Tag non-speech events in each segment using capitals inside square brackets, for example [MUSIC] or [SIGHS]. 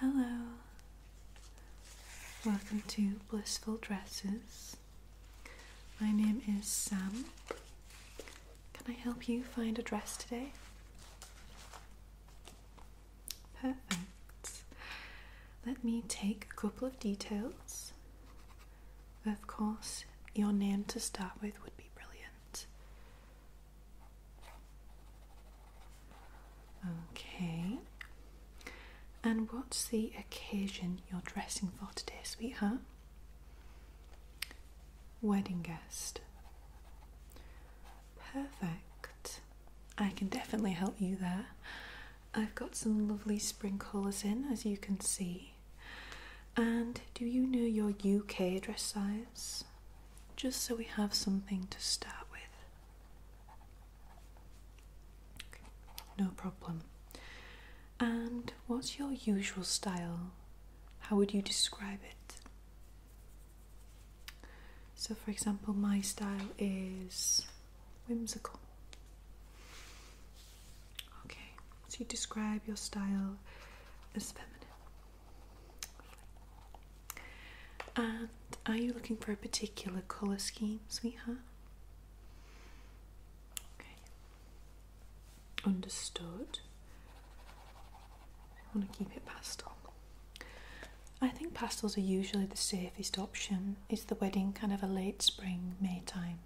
Hello. Welcome to Blissful Dresses. My name is Sam. Can I help you find a dress today? Perfect. Let me take a couple of details. Of course, your name to start with would be brilliant. Okay. And what's the occasion you're dressing for today, sweetheart? Wedding guest. Perfect. I can definitely help you there. I've got some lovely spring colours in, as you can see. And do you know your UK dress size? Just so we have something to start with. no problem. And what's your usual style? How would you describe it? So, for example, my style is whimsical. Okay, so you describe your style as feminine. And are you looking for a particular colour scheme, sweetheart? Okay, understood. I want to keep it pastel. I think pastels are usually the safest option. Is the wedding kind of a late spring, May time?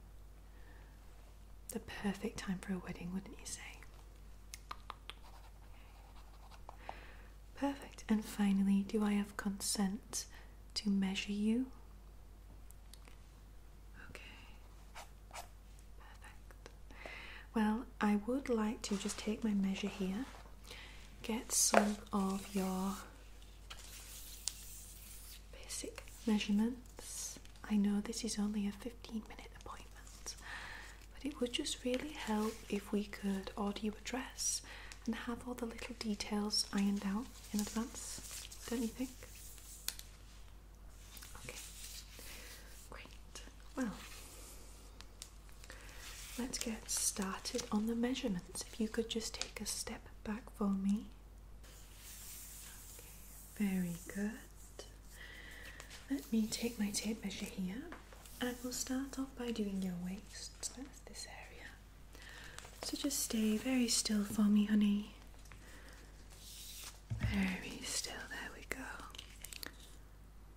The perfect time for a wedding, wouldn't you say? Perfect. And finally, do I have consent to measure you? Okay. Perfect. Well, I would like to just take my measure here get some of your basic measurements. I know this is only a 15 minute appointment, but it would just really help if we could order your dress and have all the little details ironed out in advance, don't you think? Okay, great. Well, Let's get started on the measurements. If you could just take a step back for me. Okay, very good. Let me take my tape measure here and we'll start off by doing your waist. So So just stay very still for me, honey. Very still, there we go.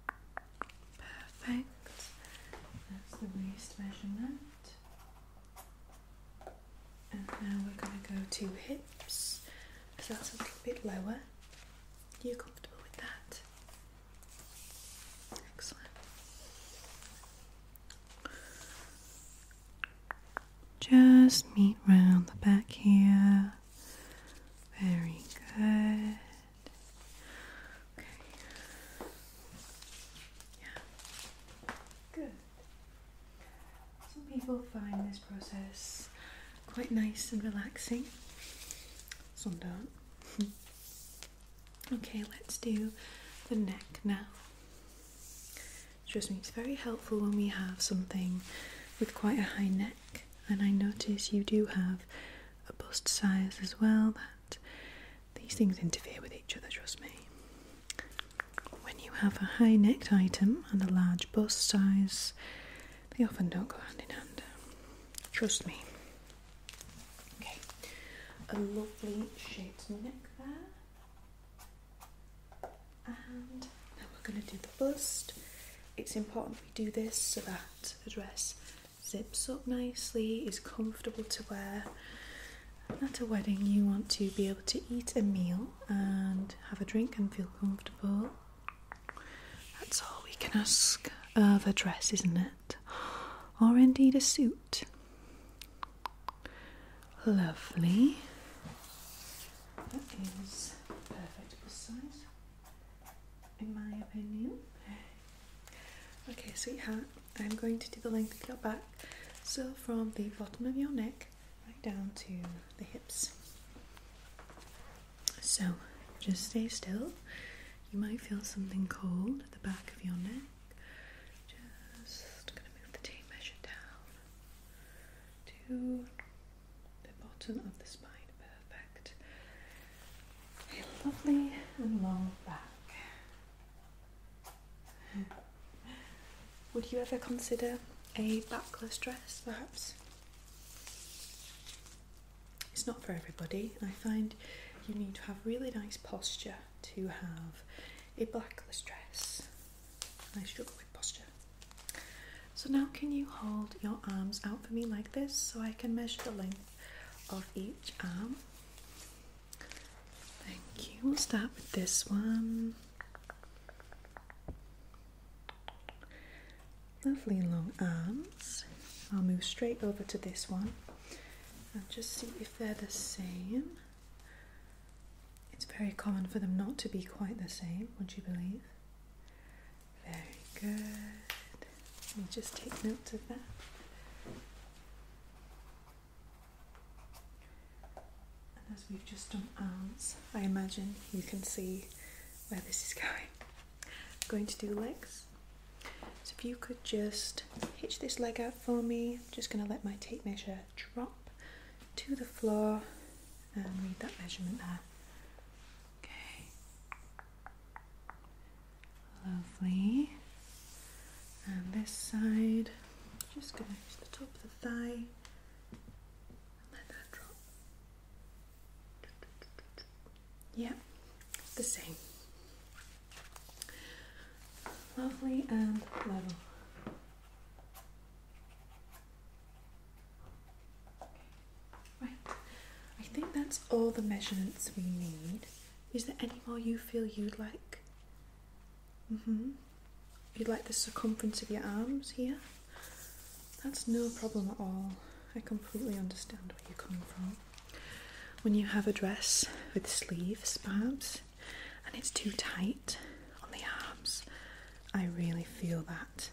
Perfect. That's the waist measurement. And now we're going to go to hips because that's a little bit lower. Are you comfortable with that? Excellent. Just meet round the back here. Very good. Okay. Yeah. Good. Some people find this process quite nice and relaxing. Some don't. [LAUGHS] okay, let's do the neck now. Trust me, it's very helpful when we have something with quite a high neck, and I notice you do have a bust size as well that these things interfere with each other, trust me. When you have a high necked item and a large bust size, they often don't go hand in hand. Trust me. Okay, a lovely shaped neck there. And now we're going to do the bust. It's important we do this so that the dress zips up nicely, is comfortable to wear. At a wedding, you want to be able to eat a meal and have a drink and feel comfortable. That's all we can ask of a dress, isn't it? Or indeed a suit. Lovely. That is perfect size, in my opinion. Okay, sweetheart, I'm going to do the length of your back. So from the bottom of your neck right down to the hips. So just stay still. You might feel something cold at the back of your neck. Just gonna move the T measure down to the bottom of the spine. Perfect a lovely and long back. Would you ever consider a backless dress, perhaps? It's not for everybody. I find you need to have really nice posture to have a backless dress. I struggle with posture. So now can you hold your arms out for me like this so I can measure the length of each arm? Thank you. We'll start with this one. Lovely long arms. I'll move straight over to this one and just see if they're the same. It's very common for them not to be quite the same, would you believe? Very good. Let me just take notes of that. And as we've just done arms, I imagine you can see where this is [LAUGHS] going. I'm going to do legs. So if you could just hitch this leg out for me, I'm just going to let my tape measure drop to the floor and read that measurement there. Okay. Lovely. And this side, just going to use the top of the thigh let that drop. Yeah, the same. Lovely and level. Right, I think that's all the measurements we need. Is there any more you feel you'd like? Mm hmm. You'd like the circumference of your arms here? That's no problem at all. I completely understand where you come from. When you have a dress with sleeves, perhaps, and it's too tight on the arms, I really feel that.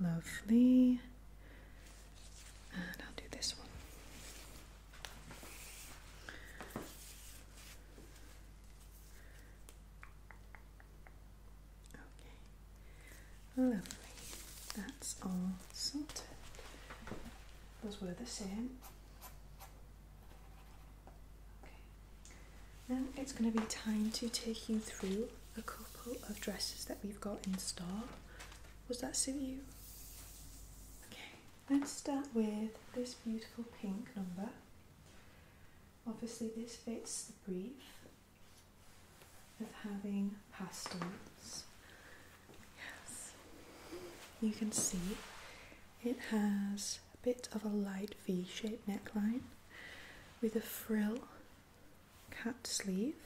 Lovely. And I'll do this one. Okay, lovely. That's all sorted. Those were the same. Okay. Now it's going to be time to take you through a couple of dresses that we've got in store does that suit you? Okay, let's start with this beautiful pink number. Obviously, this fits the brief of having pastels. Yes, you can see it has a bit of a light V shaped neckline with a frill cat sleeve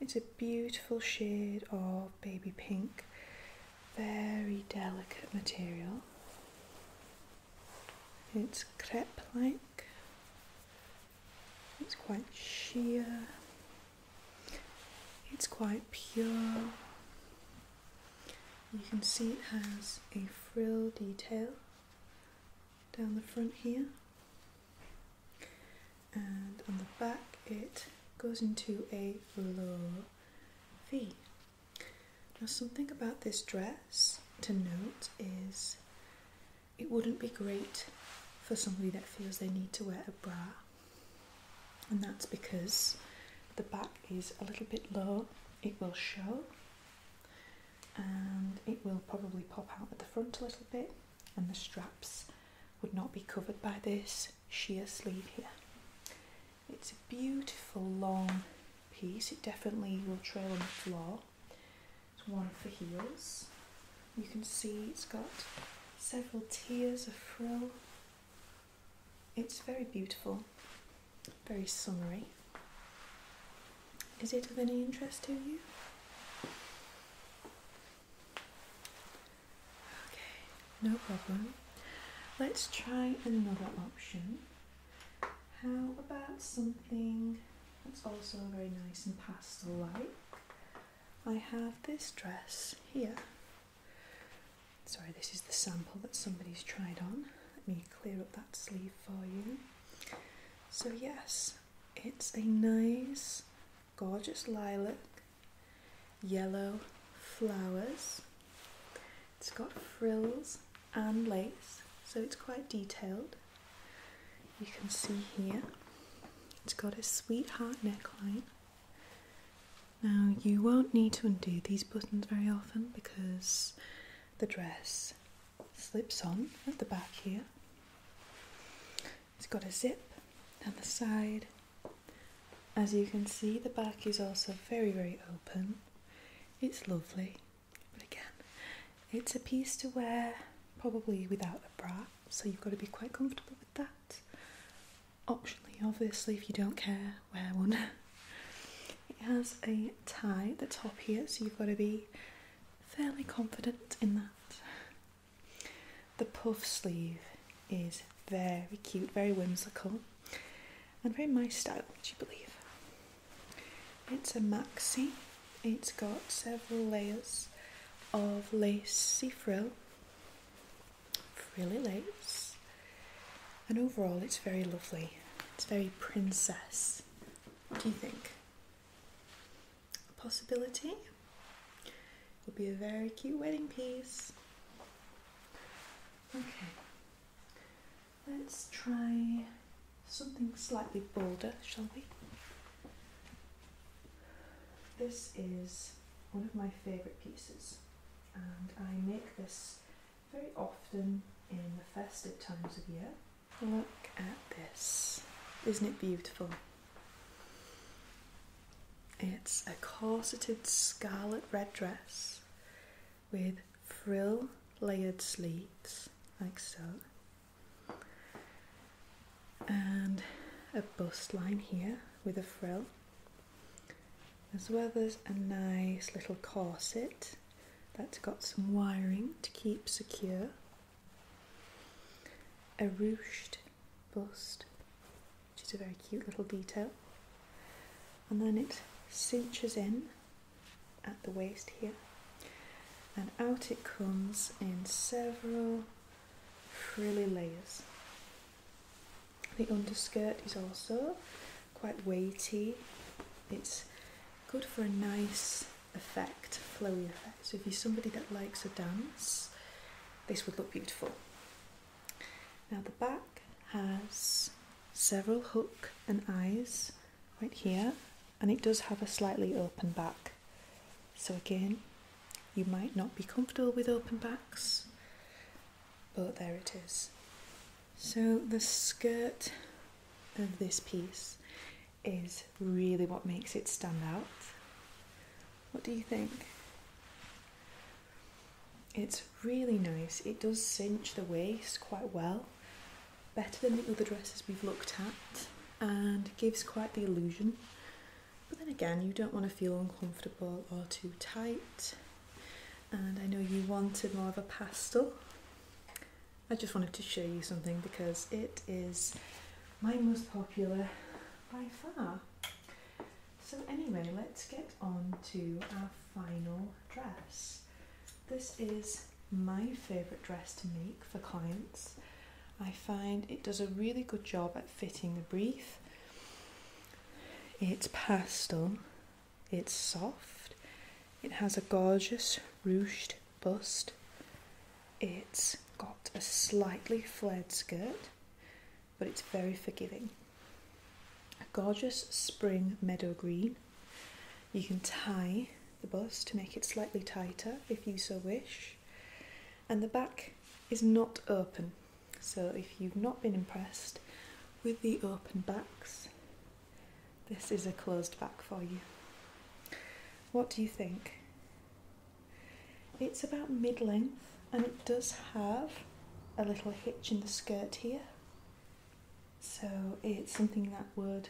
it's a beautiful shade of baby pink, very delicate material. It's crepe like, it's quite sheer, it's quite pure. You can see it has a frill detail down the front here and on the back it goes into a low V. Now, something about this dress to note is it wouldn't be great for somebody that feels they need to wear a bra, and that's because the back is a little bit low, it will show and it will probably pop out at the front a little bit and the straps would not be covered by this sheer sleeve here. It's a beautiful long piece, it definitely will trail on the floor. It's one for heels. You can see it's got several tiers of frill. It's very beautiful, very summery. Is it of any interest to you? Okay, no problem. Let's try another option. How about something that's also very nice and pastel like? I have this dress here. Sorry, this is the sample that somebody's tried on. Let me clear up that sleeve for you. So, yes, it's a nice gorgeous lilac, yellow flowers. It's got frills and lace, so it's quite detailed. You can see here, it's got a sweetheart neckline. Now, you won't need to undo these buttons very often because the dress slips on at the back here. It's got a zip down the side. As you can see, the back is also very, very open. It's lovely, but again, it's a piece to wear probably without a bra, so you've got to be quite comfortable with that. Optionally, obviously, if you don't care, wear one. [LAUGHS] it has a tie at the top here, so you've got to be fairly confident in that. The puff sleeve is very cute, very whimsical, and very my style, would you believe? It's a maxi, it's got several layers of lacey frill, really lace, and overall it's very lovely. It's very princess. What do you think? possibility. would be a very cute wedding piece. Okay, let's try something slightly bolder, shall we? This is one of my favourite pieces, and I make this very often in the festive times of year. Look at this. Isn't it beautiful? It's a corseted scarlet red dress with frill layered sleeves, like so, and a bust line here with a frill, as well there's a nice little corset that's got some wiring to keep secure. A ruched bust, which is a very cute little detail. And then it cinches in at the waist here, and out it comes in several frilly layers. The underskirt is also quite weighty. It's good for a nice effect, flowy effect. So if you're somebody that likes a dance, this would look beautiful. Now the back has several hook and eyes right here, and it does have a slightly open back. So again, you might not be comfortable with open backs, but there it is. So the skirt of this piece is really what makes it stand out. What do you think? It's really nice. It does cinch the waist quite well, better than the other dresses we've looked at, and gives quite the illusion. But then again, you don't want to feel uncomfortable or too tight. And I know you wanted more of a pastel. I just wanted to show you something because it is my most popular by far. So anyway, let's get on to our final dress. This is my favourite dress to make for clients. I find it does a really good job at fitting the brief. It's pastel, it's soft, it has a gorgeous ruched bust, it's got a slightly flared skirt, but it's very forgiving. A gorgeous spring meadow green. You can tie the bust to make it slightly tighter if you so wish. And the back is not open, so if you've not been impressed with the open backs, this is a closed back for you. What do you think? It's about mid length and it does have a little hitch in the skirt here, so it's something that would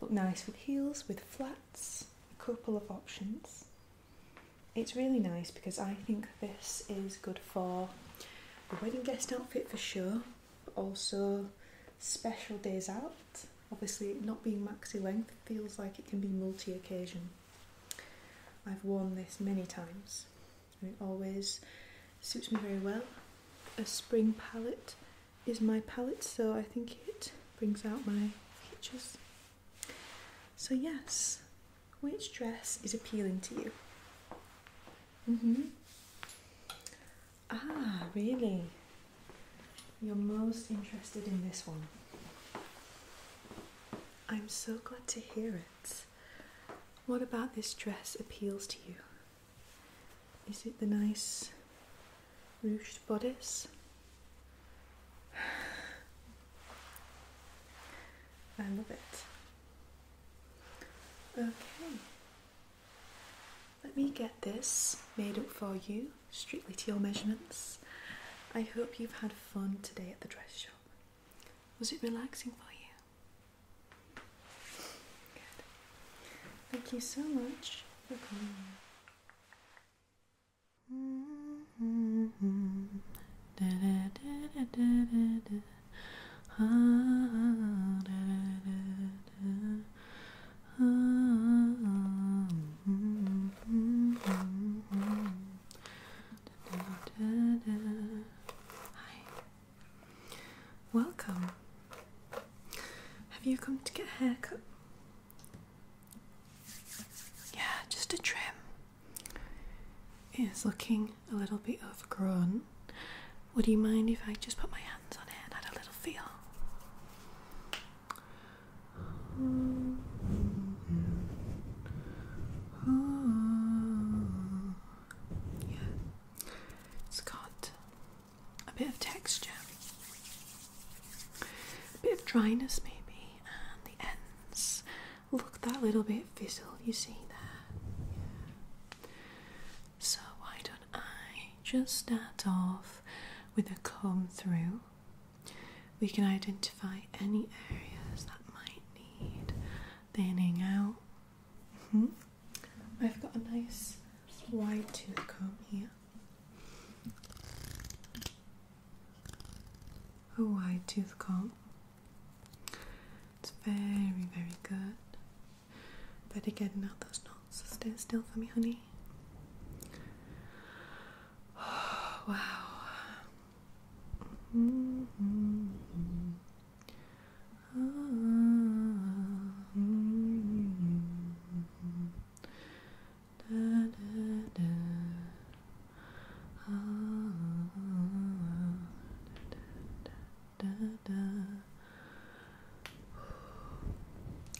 look nice with heels, with flats, a couple of options. It's really nice because I think this is good for a wedding guest outfit for sure, also special days out. Obviously, not being maxi length feels like it can be multi occasion. I've worn this many times it always suits me very well. A spring palette is my palette, so I think it brings out my features. So, yes, which dress is appealing to you? hmm. Ah, really? You're most interested in this one. I'm so glad to hear it. What about this dress appeals to you? Is it the nice ruched bodice? [SIGHS] I love it. Okay. Let me get this made up for you, strictly to your measurements. I hope you've had fun today at the dress shop. Was it relaxing for you? Good. Thank you so much for coming. Hi. Welcome. Have you come to get a haircut? Yeah, just a trim. It's looking a little bit overgrown. Would you mind if I just put my hands on it and had a little feel? Yeah. It's got a bit of texture, a bit of dryness maybe, and the ends look that little bit frizzled. you see there. Yeah. So why don't I just start off with a comb through we can identify any areas that might need thinning out. Mm-hmm. I've got a nice wide tooth comb here. A wide tooth comb. It's very, very good. Better again, out those knots stay still for me, honey. [SIGHS] wow.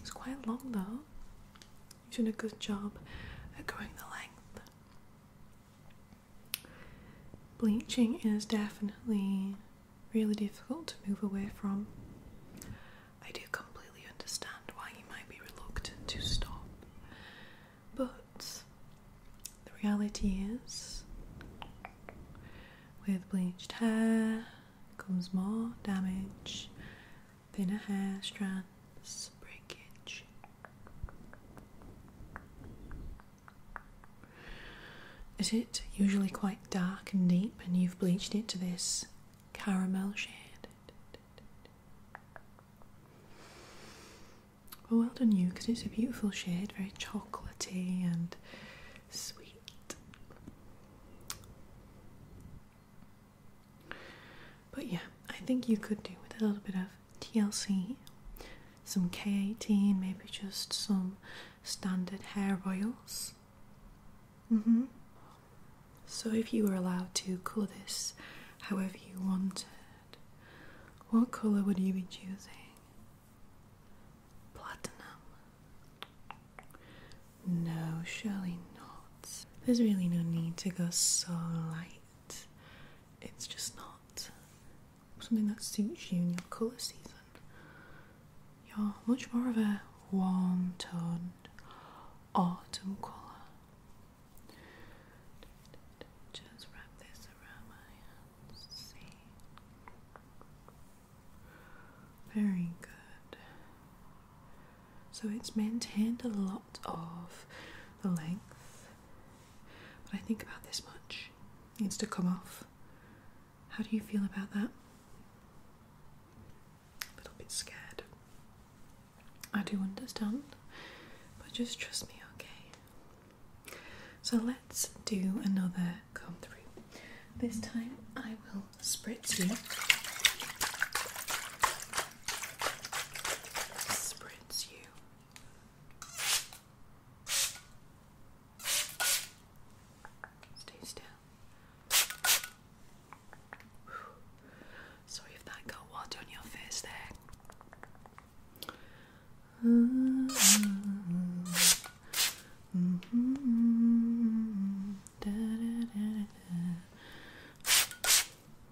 It's quite long though. You've done a good job at going the length. Bleaching is definitely really difficult to move away from. I do completely understand why you might be reluctant to stop, but the reality is with bleached hair comes more damage, than thinner hair strands. Lance Is it usually quite dark and deep, and you've bleached it to this caramel shade? Well, well done you, because it's a beautiful shade, very chocolatey and sweet. But yeah, I think you could do with a little bit of TLC, some K18, maybe just some standard hair oils. Mm-hmm. So, if you were allowed to colour this however you wanted, what colour would you be choosing? Platinum? No, surely not. There's really no need to go so light it's just not something that suits you in your colour season. You're much more of a warm toned autumn colour. Just wrap this around my hands. See. Very good. So it's maintained a lot of the length but I think about this much needs to come off. How do you feel about that? A little bit scared. I do understand, but just trust me, okay? So let's do another come through. This time I will spritz you. Spritz you Stay still. Sorry if that got water on your face there.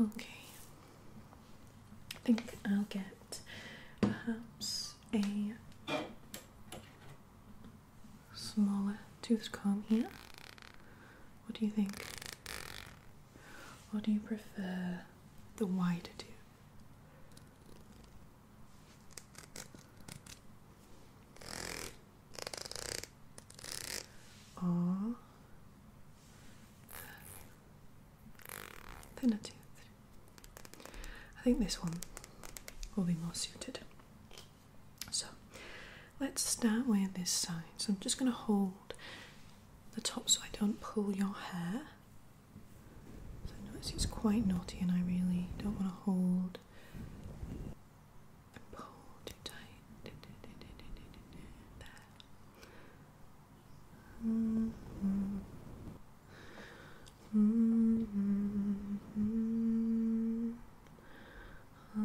Okay. I think I'll get perhaps a smaller tooth comb here. What do you think? Or do you prefer the wider tooth? Or thinner I think this one will be more suited. So let's start with this side. So I'm just going to hold the top so I don't pull your hair. So notice it's quite knotty and I really don't want to hold and pull too tight. Mm -hmm. Mm -hmm. Oh.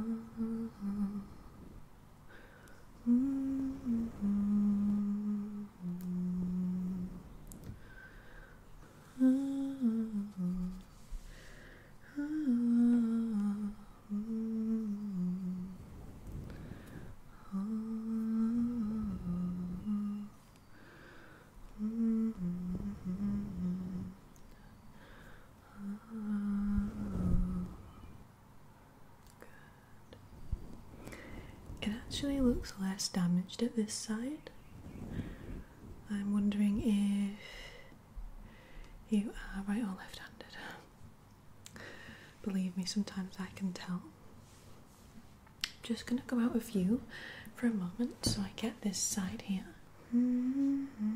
Mm -hmm. Oh. It actually looks less damaged at this side. I'm wondering if you are right or left handed. Believe me, sometimes I can tell. I'm just gonna go out of you for a moment so I get this side here. Mm-hmm.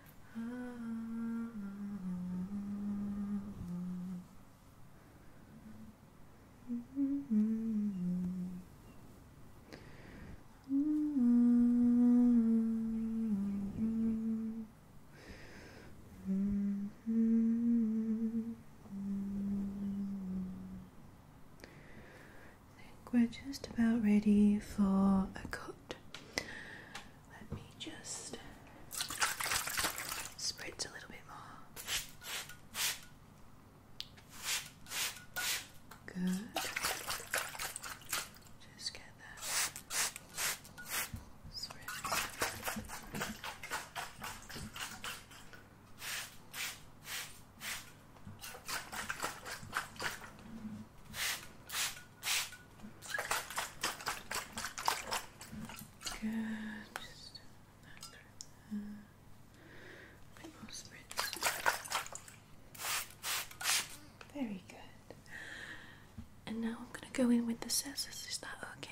I think we're just about ready for a cut. Let me just spritz a little bit more. Good. Just get that spritz. Good. Just that through there. A Very good. And now I'm going to go in with the scissors. Is okay?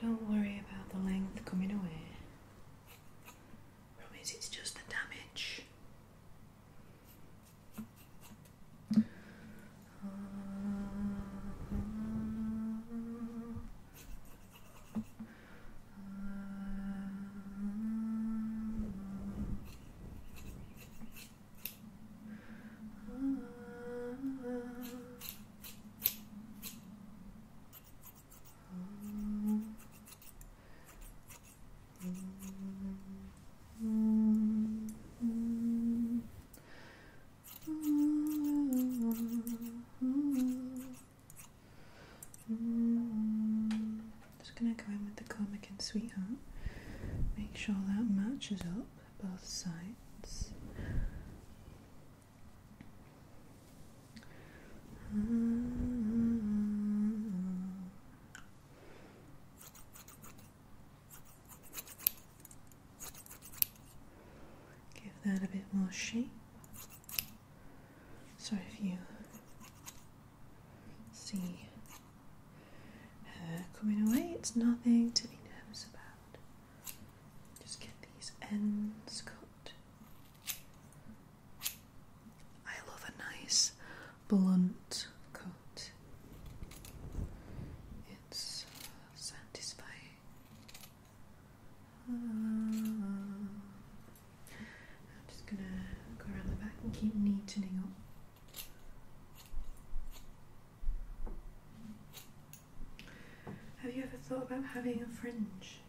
Don't worry about the length coming away. Promise it's just the damage. Just gonna go in with the comic and sweetheart. Make sure that matches up both sides. Give that a bit more shape. So if you see hair uh, coming away. It's nothing to be nervous about. Just get these ends cut. I love a nice blunt cut. It's uh, satisfying. Ah. I'm just gonna go around the back and keep neatening up have you ever thought about having a fringe?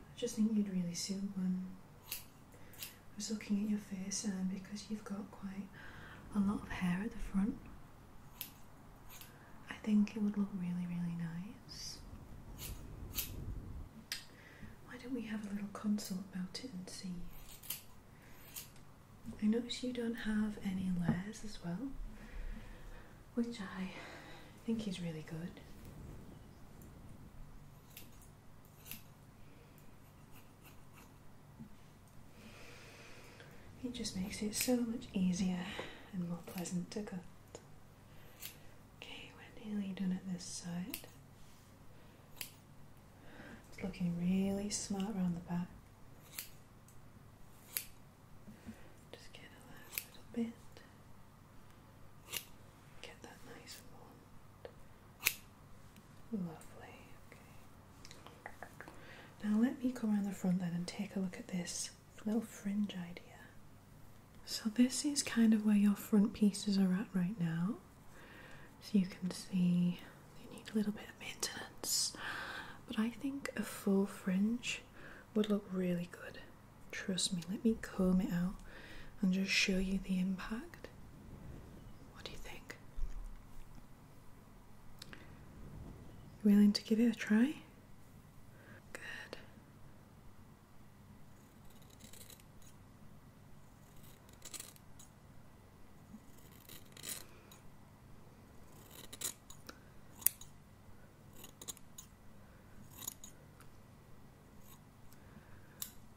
I just think you'd really suit one. I was looking at your face, and because you've got quite a lot of hair at the front, I think it would look really, really nice. Why don't we have a little consult about it and see? I notice you don't have any layers as well, which I think is really good. It just makes it so much easier and more pleasant to cut. Okay, we're nearly done at this side. It's looking really smart around the back. Just get a last little bit. Get that nice Lovely. Okay. Now let me go around the front then and take a look at this little fringe idea. So this is kind of where your front pieces are at right now. So you can see they need a little bit of maintenance, but I think a full fringe would look really good. Trust me, let me comb it out and just show you the impact. What do you think? willing to give it a try? Good.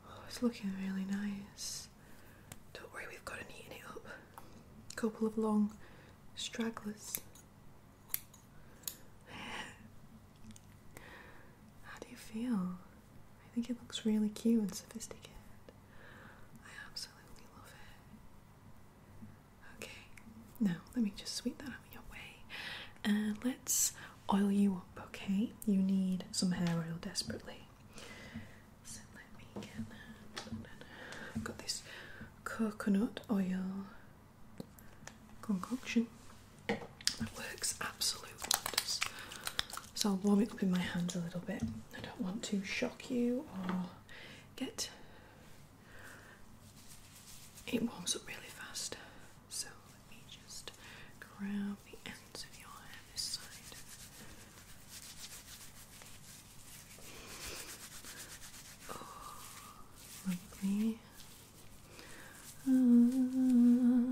Oh, it's looking really nice. Don't worry, we've got an eating it up. A couple of long stragglers. [LAUGHS] How do you feel? I think it looks really cute and sophisticated. I absolutely love it. Okay, now let me just sweep that out of your way and uh, let's oil you up, okay? You need some hair oil desperately. So let me get that. I've got this coconut oil concoction that works absolutely wonders. So I'll warm it up in my hands a little bit. I don't want to shock you or get it warms up really fast. So let me just grab the ends of your hair this side. Oh, lovely. Uh,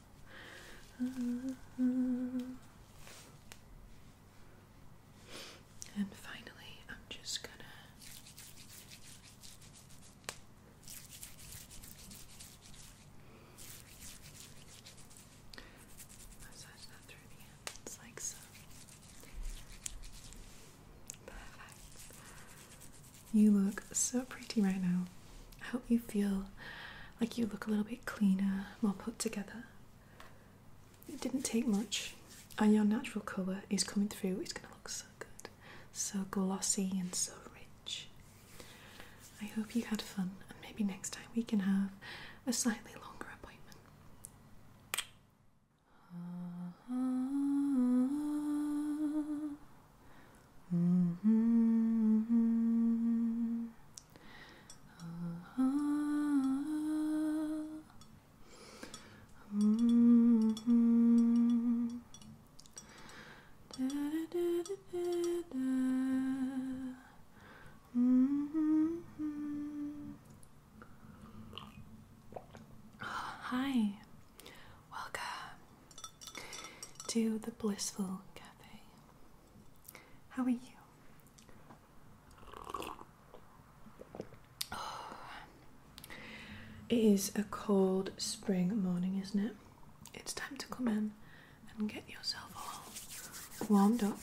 Uh-huh. And finally, I'm just gonna massage that through the ends like so. Perfect. You look so pretty right now. I hope you feel like you look a little bit cleaner, more put together. It didn't take much, and your natural colour is coming through. It's going to look so good, so glossy and so rich. I hope you had fun, and maybe next time we can have a slightly longer appointment. Uh-huh hmm uh hmm Da, da, da, da, hmm Hi, welcome to the Blissful Cafe. How are you? It is a cold spring morning, isn't it? It's time to come in and get yourself all warmed up.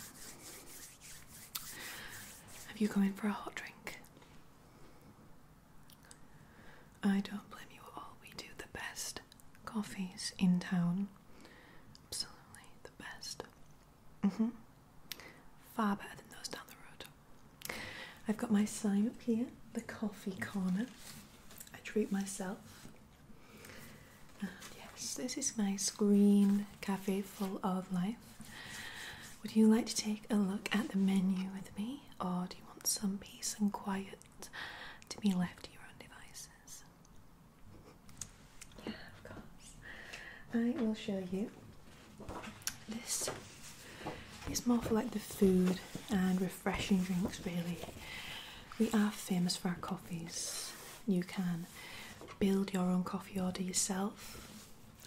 Have you come in for a hot drink? I don't blame you at all. We do the best coffees in town. Absolutely the best. Mm-hmm. Far better than those down the road. I've got my sign up here, the coffee corner. I treat myself. yes, this is my screen cafe full of life. Would you like to take a look at the menu with me, or do you want some peace and quiet to be left to your own devices? Yeah, of course. I will show you. This is more for like the food and refreshing drinks, really. We are famous for our coffees. You can build your own coffee order yourself.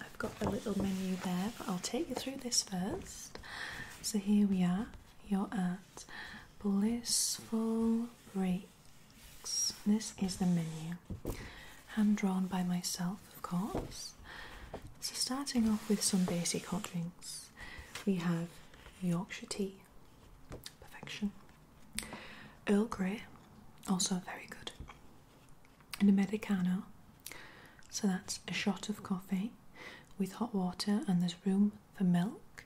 I've got a little menu there, but I'll take you through this first. So here we are. You're at blissful breaks. This is the menu, hand drawn by myself, of course. So, starting off with some basic hot drinks, we have Yorkshire tea, perfection, Earl Grey, also very good, and a Medicano. So, that's a shot of coffee with hot water, and there's room for milk.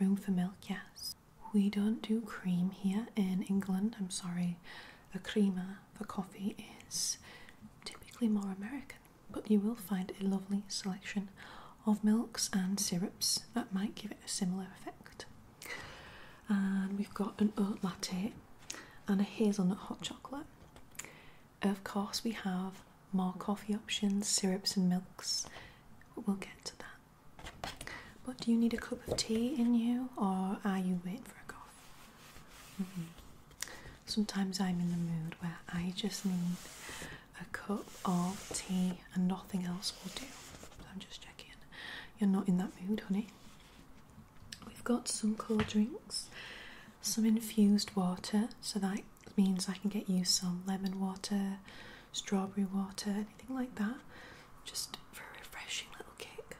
Room for milk, yes. We don't do cream here in England, I'm sorry. the creamer for coffee is typically more American, but you will find a lovely selection of milks and syrups that might give it a similar effect. And we've got an oat latte and a hazelnut hot chocolate. Of course, we have more coffee options, syrups, and milks. We'll get to that. But do you need a cup of tea in you, or are you waiting for a coffee? Mm-hmm. Sometimes I'm in the mood where I just need a cup of tea and nothing else will do. I'm just checking. You're not in that mood, honey. We've got some cold drinks, some infused water, so that means I can get you some lemon water, strawberry water, anything like that, just for a refreshing little kick.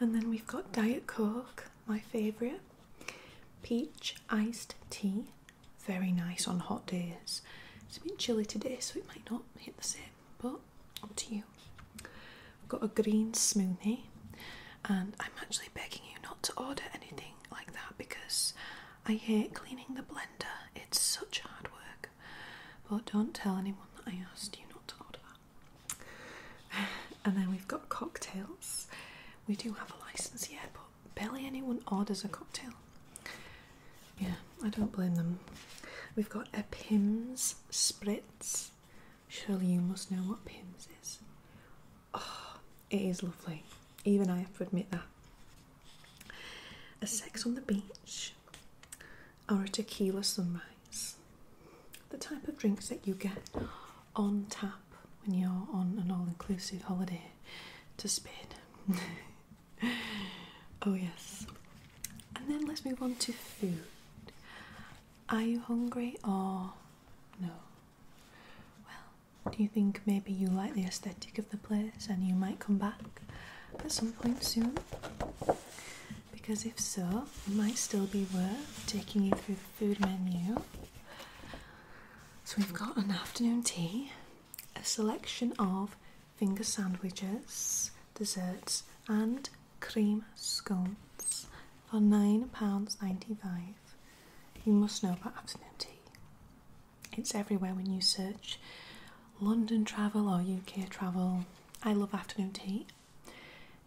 And then we've got Diet Coke, my favourite, peach iced tea, very nice on hot days. It's a bit chilly today, so it might not hit the same, but up to you. I've got a green smoothie, and I'm actually begging you not to order anything like that because I hate cleaning the blender, it's such hard work. But don't tell anyone that I asked you not to order that. [SIGHS] And then we've got cocktails. We do have a license here, but barely anyone orders a cocktail. Yeah, I don't blame them. We've got a Pims Spritz. Surely you must know what Pims is. Oh, it is lovely. Even I have to admit that. A sex on the beach or a tequila sunrise. The type of drinks that you get on tap when you're on an all inclusive holiday to Spain. [LAUGHS] oh, yes. And then let's move on to food. Are you hungry or no? Well, do you think maybe you like the aesthetic of the place and you might come back at some point soon? Because if so, it might still be worth taking you through the food menu. So we've got an afternoon tea, a selection of finger sandwiches, desserts, and cream scones for £9.95. You must know about afternoon tea. It's everywhere when you search London travel or UK travel. I love afternoon tea.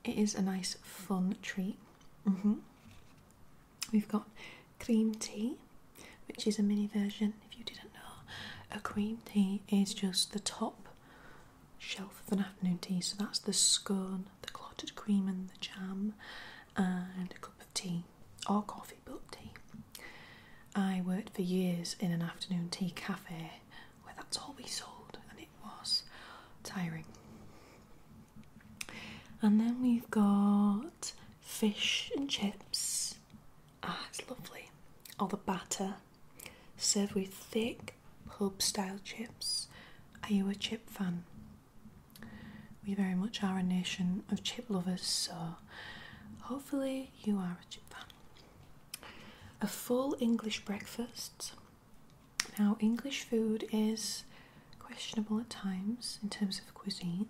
It is a nice, fun treat. Mm-hmm. We've got cream tea, which is a mini version. If you didn't know, a cream tea is just the top shelf of an afternoon tea. So that's the scone, the clotted cream, and the jam, and a cup of tea or coffee coffee tea. I worked for years in an afternoon tea cafe where that's all we sold, and it was tiring. And then we've got fish and chips. Ah, it's lovely. All the batter served with thick pub style chips. Are you a chip fan? we very much are a nation of chip lovers, so hopefully you are a chip fan. A full English breakfast. Now, English food is questionable at times in terms of cuisine.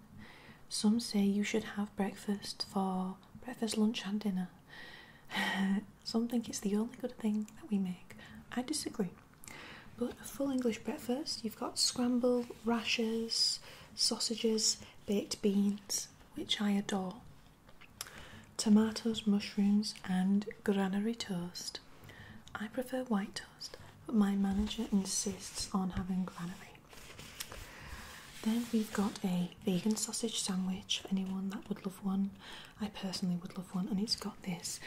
Some say you should have breakfast for breakfast, lunch, and dinner. [LAUGHS] Some think it's the only good thing that we make. I disagree. But a full English breakfast, you've got scramble, rashers, sausages, baked beans, which I adore, tomatoes, mushrooms, and granary toast. I prefer white toast, but my manager insists on having granary. Then we've got a vegan sausage sandwich for anyone that would love one. I personally would love one, and it's got this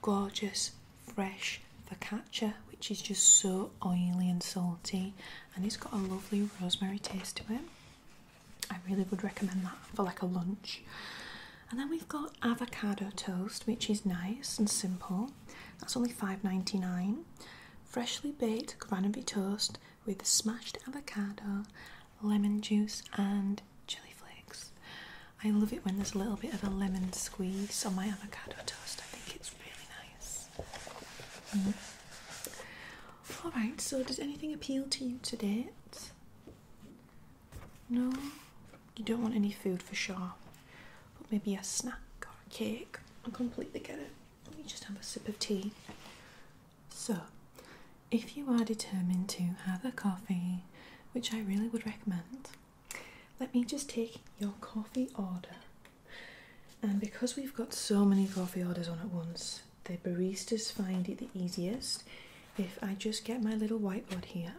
gorgeous fresh focaccia, which is just so oily and salty, and it's got a lovely rosemary taste to it. I really would recommend that for like a lunch. And then we've got avocado toast, which is nice and simple. That's only five ninety nine. Freshly baked granary toast with smashed avocado, lemon juice, and chili flakes. I love it when there's a little bit of a lemon squeeze on my avocado toast. I think it's really nice. Mm-hmm. All right. So, does anything appeal to you today? No. You don't want any food for sure, but maybe a snack or a cake. I completely get it. Let me just have a sip of tea. So, if you are determined to have a coffee, which I really would recommend, let me just take your coffee order and because we've got so many coffee orders on at once, the baristas find it the easiest if I just get my little whiteboard here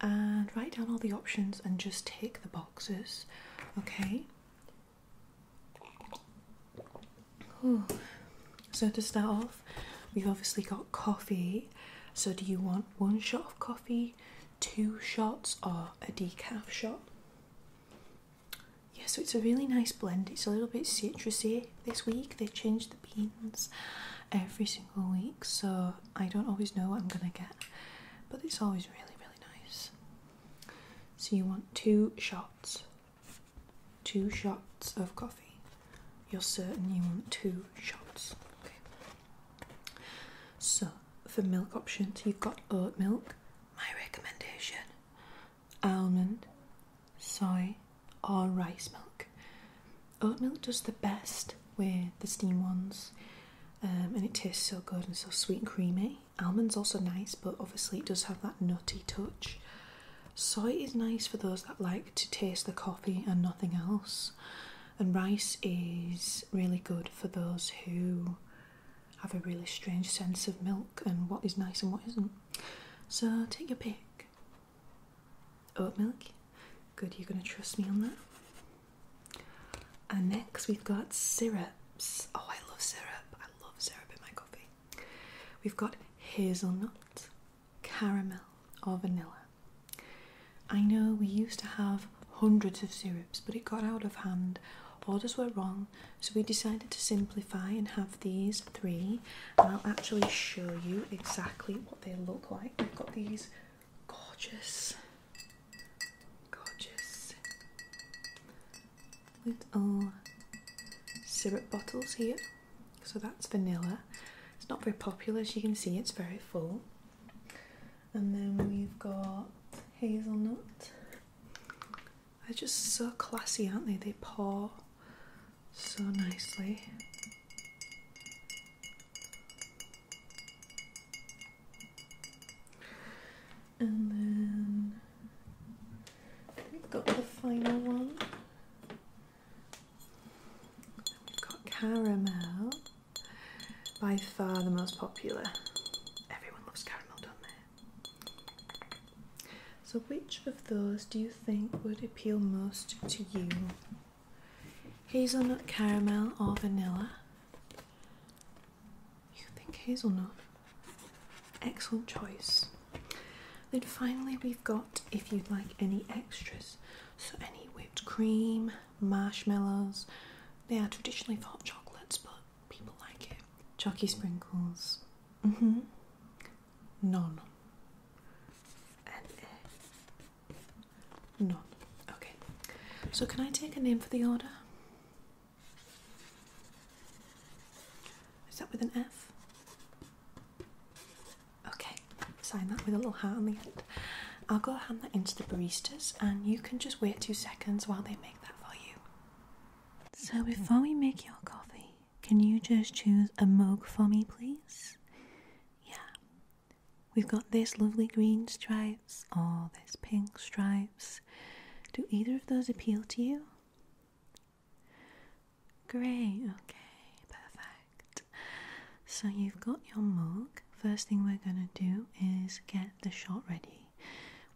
and write down all the options and just tick the boxes, okay? So, to start off, we've obviously got coffee. So, do you want one shot of coffee, two shots, or a decaf shot? yeah, so it's a really nice blend. It's a little bit citrusy this week. They change the beans every single week, so I don't always know what I'm gonna get, but it's always really, really nice. So, you want two shots, two shots of coffee. You're certain you want two shots. Okay. So, for milk options, you've got oat milk, my recommendation almond, soy, or rice milk. Oat milk does the best with the steam ones, um, and it tastes so good and so sweet and creamy. Almond's also nice, but obviously it does have that nutty touch. Soy is nice for those that like to taste the coffee and nothing else, and rice is really good for those who have a really strange sense of milk and what is nice and what isn't. So take your pick. Oat milk. Good, you're going to trust me on that. And next we've got syrups. Oh, I love syrup. I love syrup in my coffee. We've got hazelnut, caramel, or vanilla. I know we used to have hundreds of syrups, but it got out of hand orders were wrong, so we decided to simplify and have these three. And I'll actually show you exactly what they look like. We've got these gorgeous, gorgeous little syrup bottles here. So that's vanilla. It's not very popular, as you can see, it's very full. And then we've got hazelnut they're just so classy, aren't they? They pour so nicely. And then we've got the final one. We've got caramel. By far the most popular. Everyone loves caramel, don't they? So, which of those do you think would appeal most to you? Hazelnut caramel or vanilla? You think hazelnut? Excellent choice. Then finally, we've got if you'd like any extras, so any whipped cream, marshmallows. They are traditionally for hot chocolates, but People like it. Chucky sprinkles. hmm. None. none. Okay. So, can I take a name for the order? Is that with an F? Okay, sign that with a little heart on the end. I'll go hand that into the baristas, and you can just wait two seconds while they make that for you. So, before we make your coffee, can you just choose a mug for me, please? Yeah. We've got this lovely green stripes or this pink stripes. Do either of those appeal to you? Great, okay, perfect. So, you've got your mug. First thing we're going to do is get the shot ready.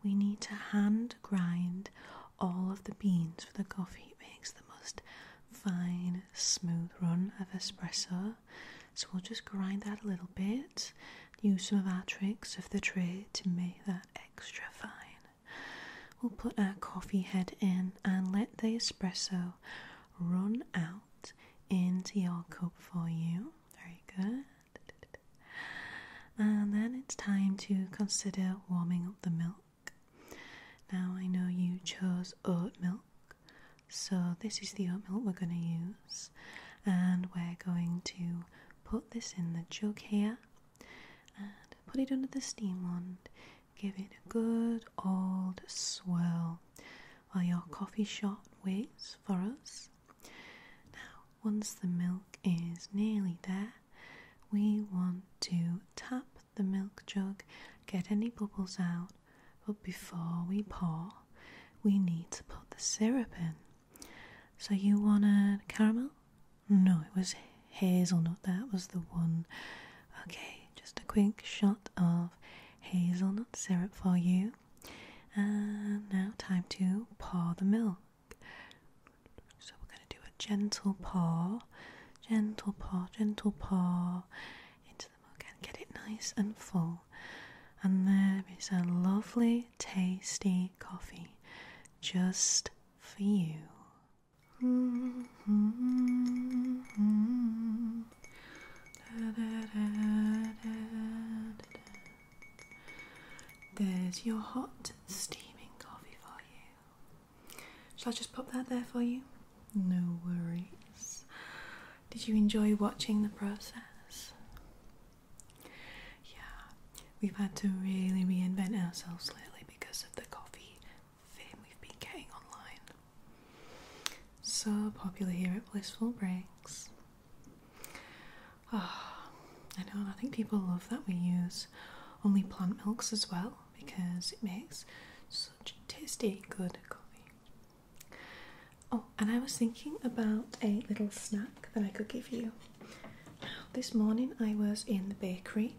We need to hand grind all of the beans for the coffee. It makes the most fine, smooth run of espresso. So we'll just grind that a little bit, use some of our tricks of the trade to make that extra fine. We'll put our coffee head in and let the espresso run out into your cup for you. Very good. And then it's time to consider warming up the milk. Now, I know you chose oat milk, so this is the oat milk we're going to use, and we're going to put this in the jug here and put it under the steam wand. Give it a good old swirl while your coffee shop waits for us. Now, once the milk is nearly there, we want to tap the milk jug, get any bubbles out, but before we pour, we need to put the syrup in. So, you want a caramel? No, it was hazelnut, that was the one. Okay, just a quick shot of hazelnut syrup for you. And now, time to pour the milk. So we're going to do a gentle paw, gentle paw, gentle paw into the mug and Get it nice and full. And there is a lovely, tasty coffee just for you. Mm-hmm. There's your hot, steaming coffee for you. Shall I just pop that there for you? No worries. Did you enjoy watching the process? Yeah, we've had to really reinvent ourselves lately because of the coffee fame we've been getting online. So popular here at Blissful Breaks. Ah, I know, I think people love that we use only plant milks as well because it makes such tasty, good coffee. Oh, and I was thinking about a little snack that I could give you. This morning I was in the bakery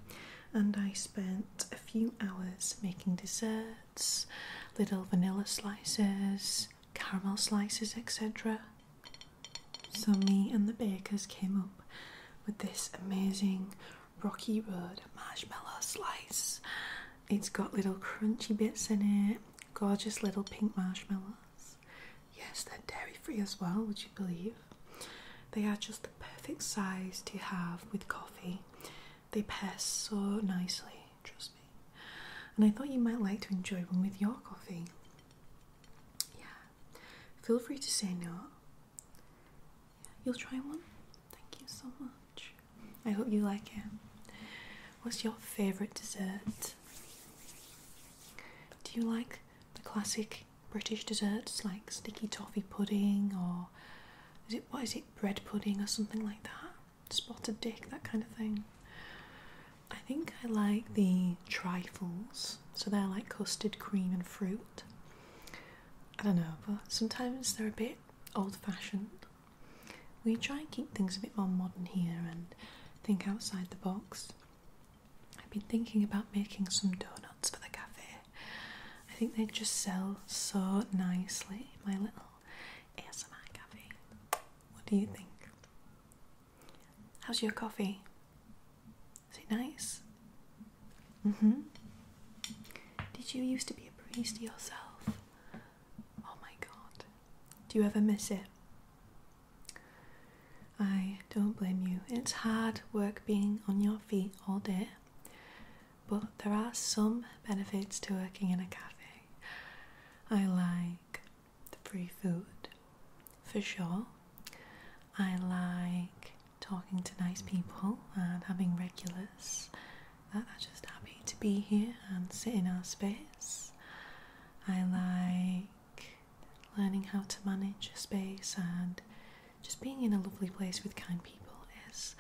and I spent a few hours making desserts, little vanilla slices, caramel slices, etc. So, me and the bakers came up with this amazing Rocky Road marshmallow slice. It's got little crunchy bits in it, gorgeous little pink marshmallows. Yes, they're dairy free as well, would you believe? They are just the perfect size to have with coffee. They pair so nicely, trust me. And I thought you might like to enjoy one with your coffee. Yeah. Feel free to say no. You'll try one? Thank you so much. I hope you like it. What's your favourite dessert? Do you like the classic British desserts like sticky toffee pudding or is it what is it bread pudding or something like that? Spotted dick, that kind of thing. I think I like the trifles, so they're like custard cream and fruit. I don't know, but sometimes they're a bit old fashioned. We try and keep things a bit more modern here and think outside the box. I've been thinking about making some donuts for the cafe. I think they'd just sell so nicely, my little ASMR cafe. What do you think? How's your coffee? Is it nice? Mm-hmm. Did you used to be a priest yourself? Oh my god. Do you ever miss it? I don't blame you. It's hard work being on your feet all day, but there are some benefits to working in a cafe. I like the free food, for sure. I like talking to nice people and having regulars that are just happy to be here and sit in our space. I like learning how to manage a space and just being in a lovely place with kind people is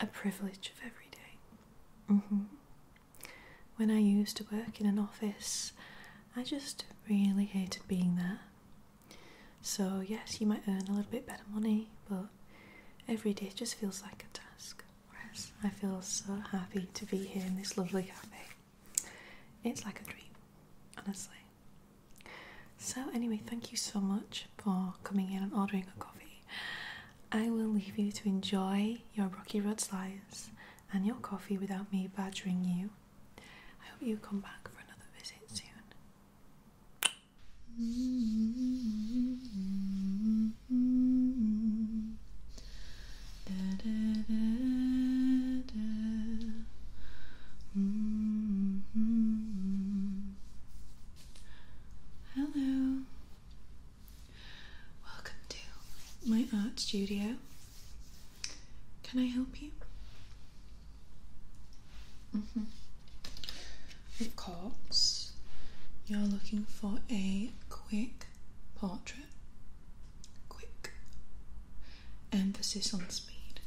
a privilege of every day. Mm-hmm. When I used to work in an office, I just really hated being there. So, yes, you might earn a little bit better money, but every day just feels like a task. Whereas I feel so happy to be here in this lovely cafe. It's like a dream, honestly. So, anyway, thank you so much for coming in and ordering a coffee. I will leave you to enjoy your rocky road slides and your coffee without me badgering you. I hope you come back for another visit soon. Hello, welcome to my art studio. Can I help you? Mm -hmm. you're looking for a quick portrait. Quick. Emphasis on speed.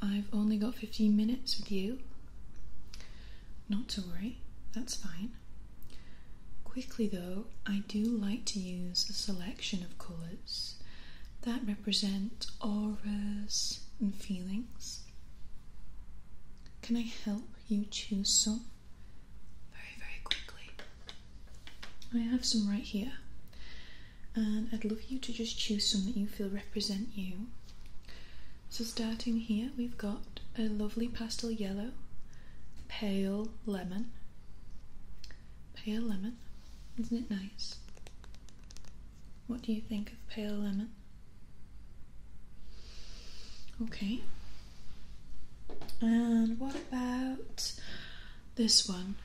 I've only got 15 minutes with you. Not to worry, that's fine. Quickly though, I do like to use a selection of colours that represent auras and feelings. Can I help you choose some? Very, very quickly. I have some right here, and I'd love you to just choose some that you feel represent you. So, starting here, we've got a lovely pastel yellow, pale lemon, Pale lemon. Isn't it nice? What do you think of pale lemon? Okay. And what about this one?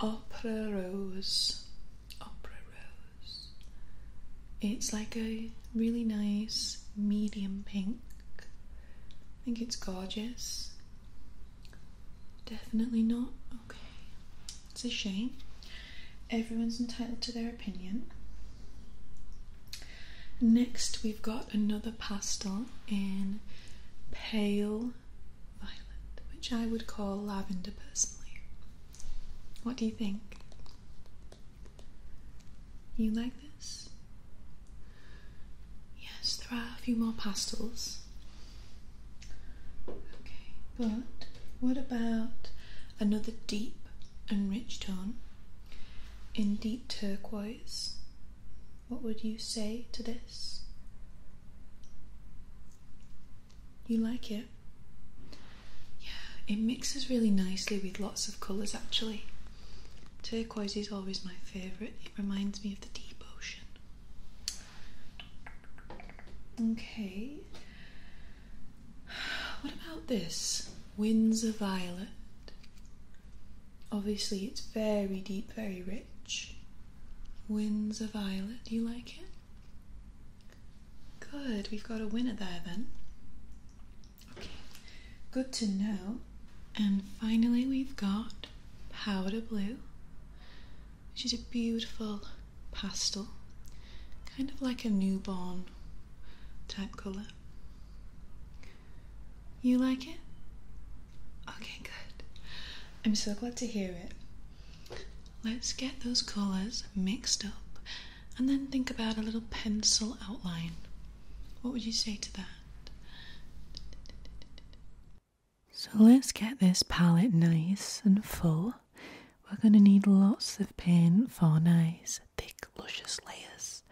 Opera Rose. Opera Rose. It's like a really nice medium pink. I think it's gorgeous. Definitely not. Okay. It's a shame. Everyone's entitled to their opinion. Next, we've got another pastel in pale violet, which I would call lavender personally. What do you think? You like this? Yes, there are a few more pastels Okay, but what about another deep and rich tone in deep turquoise? What would you say to this? You like it? Yeah, it mixes really nicely with lots of colours actually. Turquoise is always my favourite, it reminds me of the deep ocean. Okay. What about this? Winds of Violet. Obviously, it's very deep, very rich. Winds of Violet, do you like it? Good, we've got a winner there then. Okay, good to know. And finally, we've got Powder Blue. Which is a beautiful pastel, kind of like a newborn type colour. You like it? Okay, good. I'm so glad to hear it. Let's get those colours mixed up and then think about a little pencil outline. What would you say to that? So let's get this palette nice and full. We're going to need lots of paint for nice, thick, luscious layers.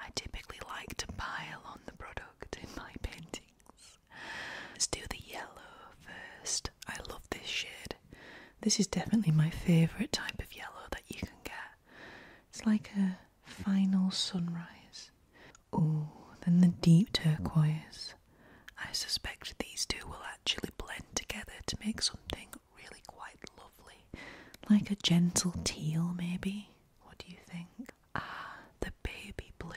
I typically like to pile on the product in my paintings. Let's do the yellow first. I love this shade. This is definitely my favourite type of yellow that you can get. It's like a final sunrise. Oh, then the deep turquoise. I suspect these two will actually blend together to make something really quite lovely. Like a gentle teal, maybe? What do you think? Ah, the baby blue.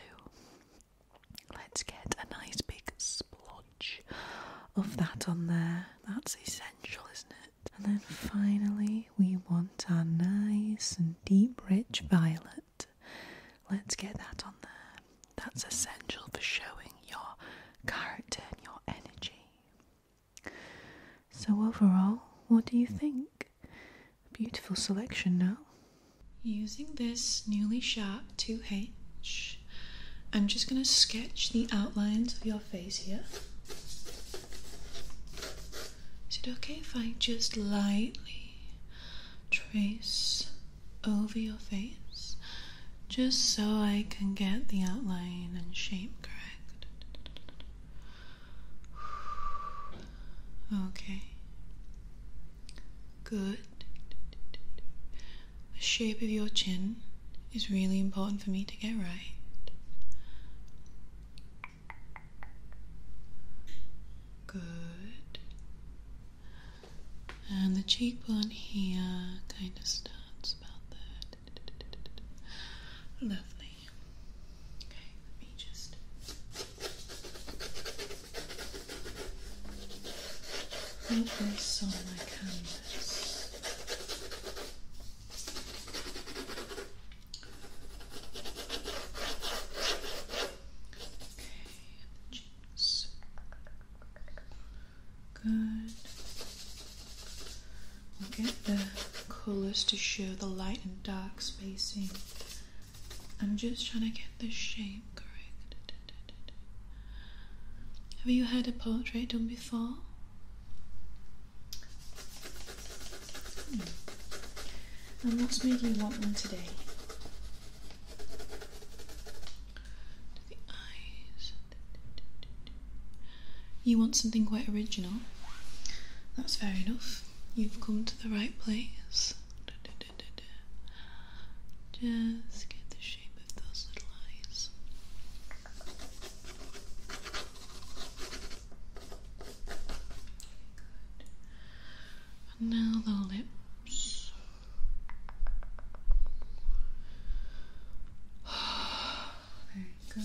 Let's get a nice big splotch of that on there. That's essential, isn't it? And then finally, we want our nice and deep, rich violet. Let's get that on there. That's essential for showing your character and your energy. So, overall, what do you think? Beautiful selection, no? Using this newly sharp 2H, I'm just going to sketch the outlines of your face here. Is it okay if I just lightly trace over your face just so I can get the outline and shape correct. Okay. Good. The shape of your chin is really important for me to get right. Good. And the cheekbone here kind of starts about there. Lovely. Okay, let me just. Put this on my canvas. Okay, stitches. Good. We'll get the colors to show the light and dark spacing. I'm just trying to get the shape correct. Have you had a portrait done before? Hmm. And what's made you want one today? the eyes. You want something quite original? That's fair enough. You've come to the right place. Just get the shape of those little eyes. now the lips. Very good.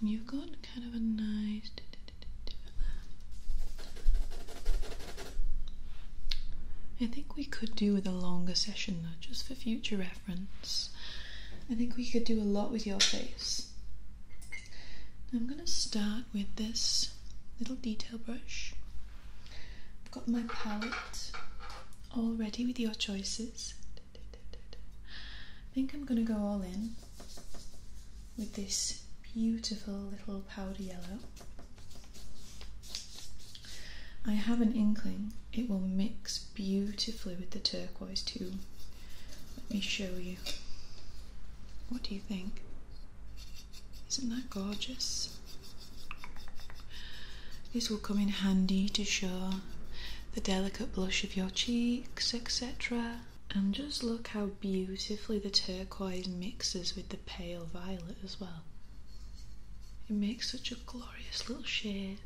And you've got kind of a nice. I think we could do with a longer session, though, just for future reference. I think we could do a lot with your face. I'm going to start with this little detail brush. I've got my palette all ready with your choices. I think I'm going to go all in with this beautiful little powder yellow. I have an inkling it will mix beautifully with the turquoise too. Let me show you. What do you think? Isn't that gorgeous? This will come in handy to show the delicate blush of your cheeks, etc. And just look how beautifully the turquoise mixes with the pale violet as well. It makes such a glorious little shade.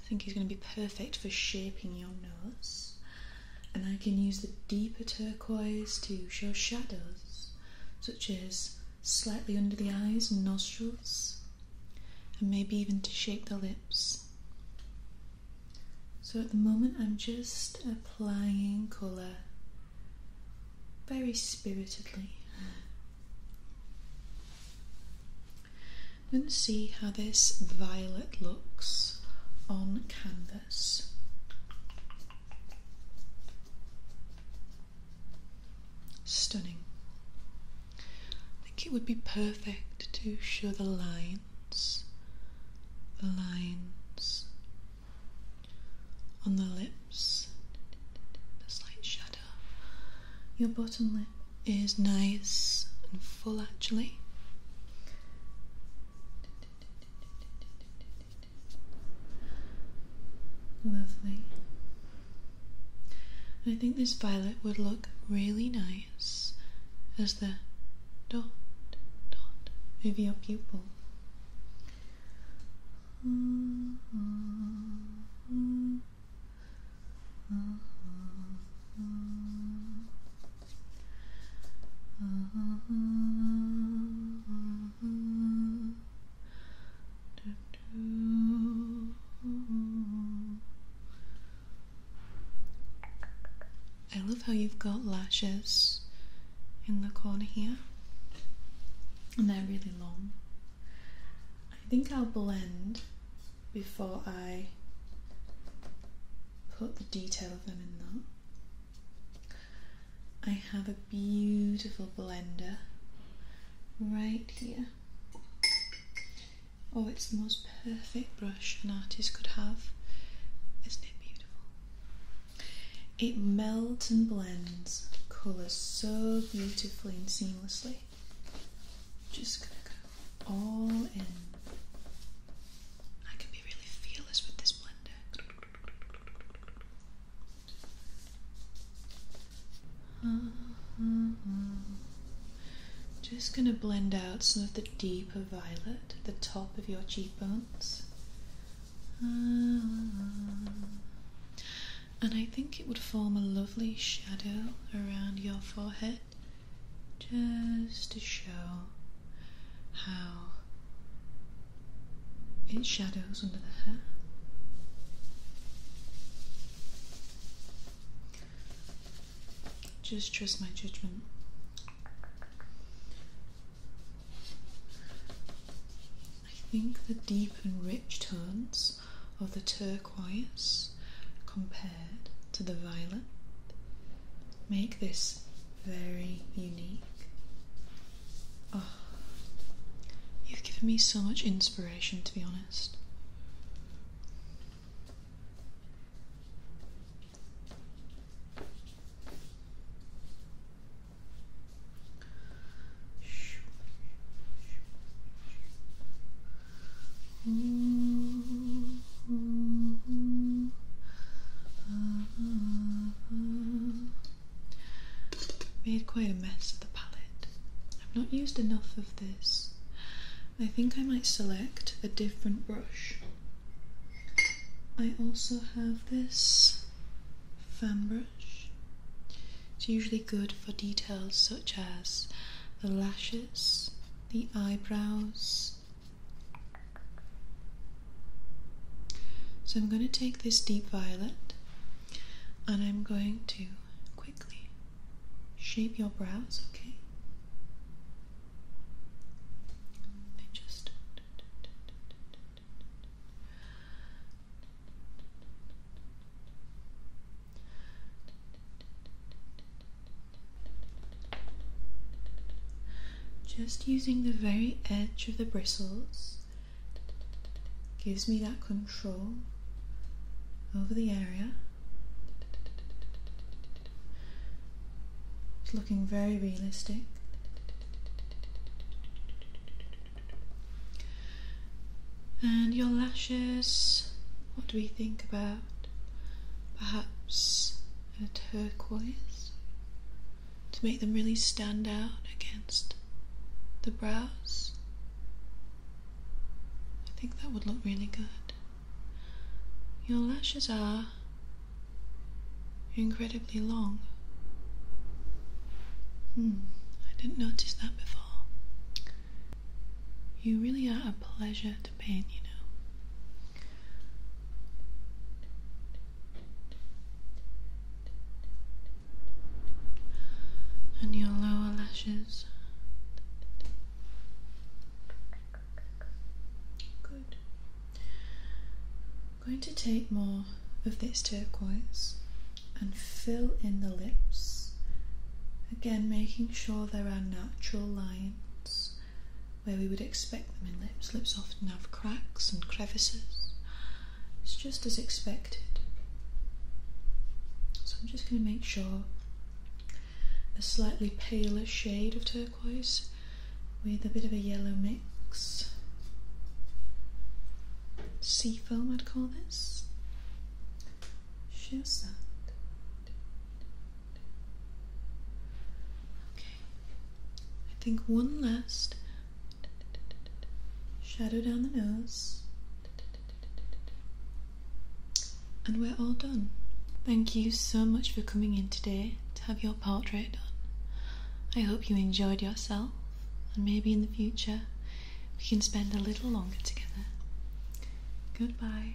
I think he's going to be perfect for shaping your nose. And I can use the deeper turquoise to show shadows, such as slightly under the eyes and nostrils, and maybe even to shape the lips. So at the moment, I'm just applying colour very spiritedly and see how this violet looks on canvas. Stunning. I think it would be perfect to show the lines, the lines on the lips, the slight shadow, your bottom lip is nice and full actually. Lovely. I think this violet would look really nice as the dot dot over your pupil. Mm-hmm. I love how you've got lashes in the corner here, and they're really long. I think I'll blend before I put the detail of them in that. I have a beautiful blender right here. Oh, it's the most perfect brush an artist could have. Isn't it beautiful? It melts and blends colours so beautifully and seamlessly. Just gonna go all in. I can be really fearless with this blender. Uh-huh. Just going to blend out some of the deeper violet at the top of your cheekbones. Uh-huh. and I think it would form a lovely shadow around your forehead just to show how it shadows under the hair. Just trust my judgment. I think the deep and rich tones of the turquoise compared to the violet make this very unique. Oh, you've given me so much inspiration, to be honest. Mm-hmm. Made quite a mess of the palette. I've not used enough of this. I think I might select a different brush. I also have this fan brush. It's usually good for details such as the lashes, the eyebrows, so I'm going to take this deep violet and I'm going to quickly shape your brows, okay? Just using the very edge of the bristles gives me that control over the area. It's looking very realistic. And your lashes, what do we think about? Perhaps a turquoise to make them really stand out against the brows. I think that would look really good. Your lashes are incredibly long. Hmm, I didn't notice that before. You really are a pleasure and your lower lashes. Good. I'm going to take more of this turquoise and fill in the lips, again making sure there are natural lines where we would expect them in lips. Lips often have cracks and crevices. It's just as expected. So I'm just going to make sure a slightly paler shade of turquoise with a bit of a yellow mix. Sea foam, I'd call this. Shows that. Okay. I think one last shadow down the nose. And we're all done. Thank you so much for coming in today to have your portrait done. I hope you enjoyed yourself, and maybe in the future we can spend a little longer together. Goodbye.